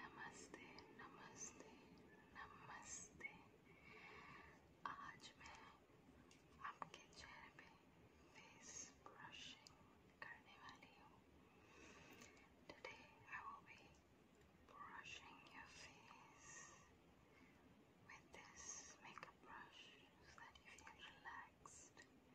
Namaste, namaste, namaste. आज I आपके चेहरे पे फेस ब्रशिंग करने वाली हूँ today I will brushing your face with this makeup brush so that you feel relaxed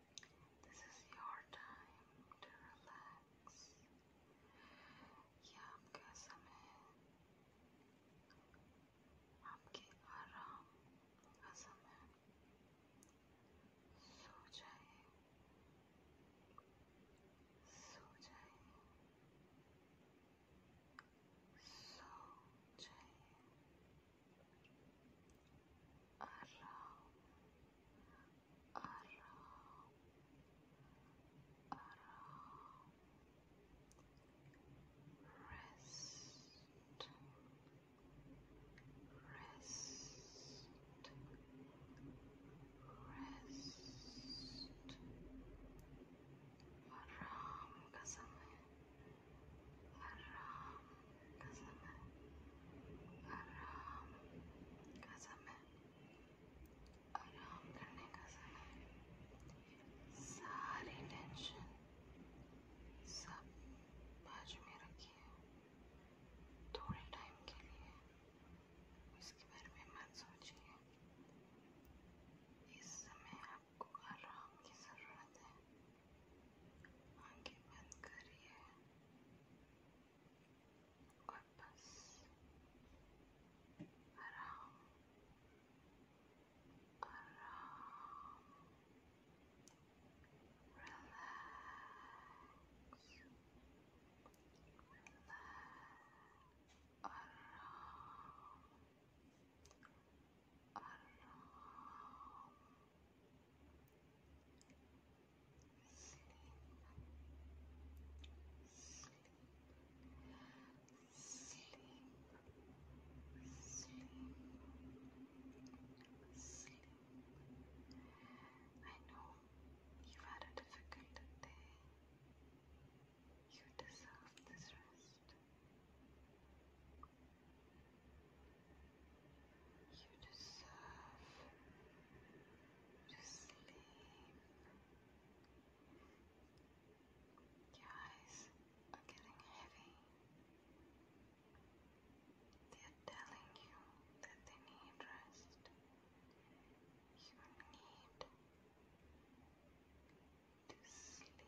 This is your time to relax. ये आपका समय है आपके आराम का समय सो जाइए सो जाइए सो जाइए आराम आराम कसम है आराम का समय आराम का समय आराम करने का समय सारी टेंशन सब बाजू में रखिए थोड़े टाइम के लिए इसके बारे में मत सोचिए इस समय आपको आराम की ज़रूरत है आंखें बंद करिए और बस आराम आराम रिलैक्स रिलैक्स आराम आराम I know you've had a difficult day. You deserve this rest. You deserve to sleep. The eyes are getting heavy. They are telling you that they need rest. You need to sleep. Sleep.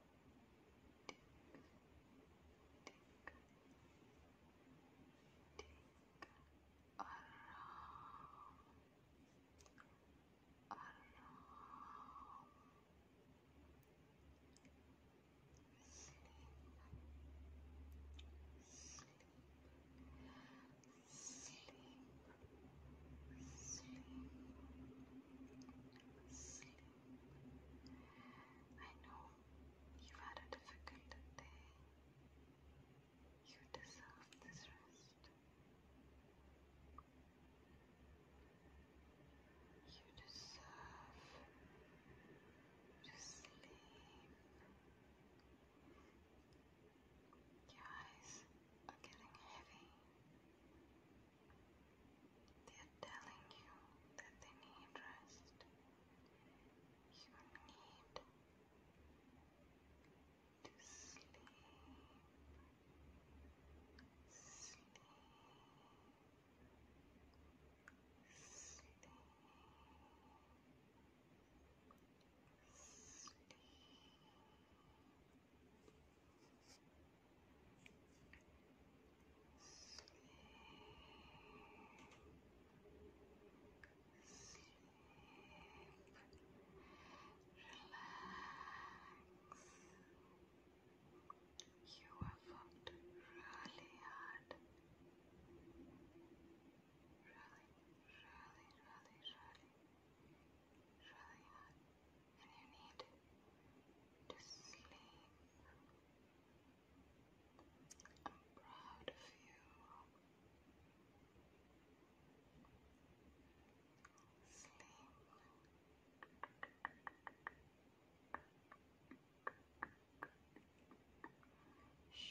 around, around. Sleep, sleep, sleep sleep, sleep. I know you had a difficult day. You deserve this rest. You deserve to sleep. Your eyes are getting heavy. They're telling you that they need rest. You need to sleep. Sleep. Sleep. Sleep. You have worked really hard. Really, really, really, really, really hard and you need to sleep. I'm proud of you. Sleep. Shh.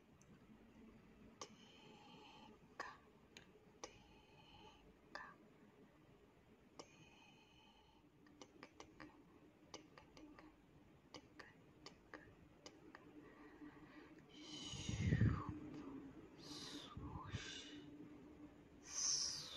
Swoosh, swoosh,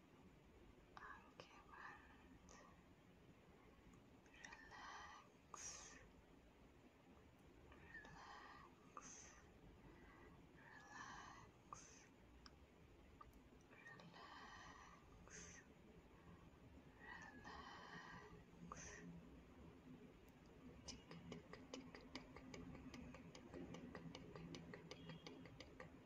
occupant relax relax relax relax relax tick tick tick tick tick tick tick tick tick tick tick tick tick tick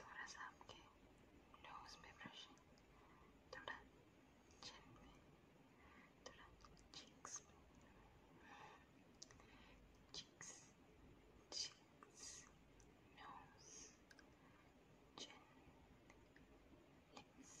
थोड़ा सा आपके nose पे brushing थोड़ा chin पे थोड़ा cheeks पे cheeks cheeks nose chin lips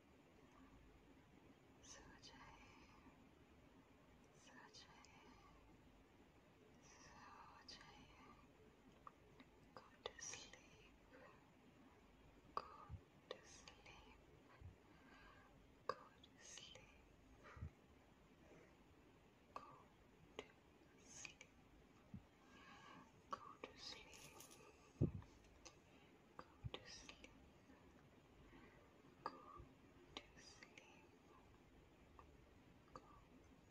such a, such a, go to sleep, go to sleep, go to sleep, go to sleep. Go to sleep. Go to sleep. Go to sleep. Go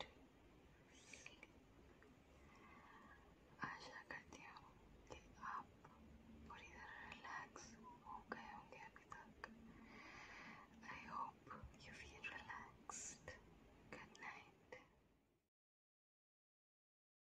to sleep. आशा करती हूँ कि आप पूरी तरह relax हो गए होंगे अभी तक I hope you feel relaxed good night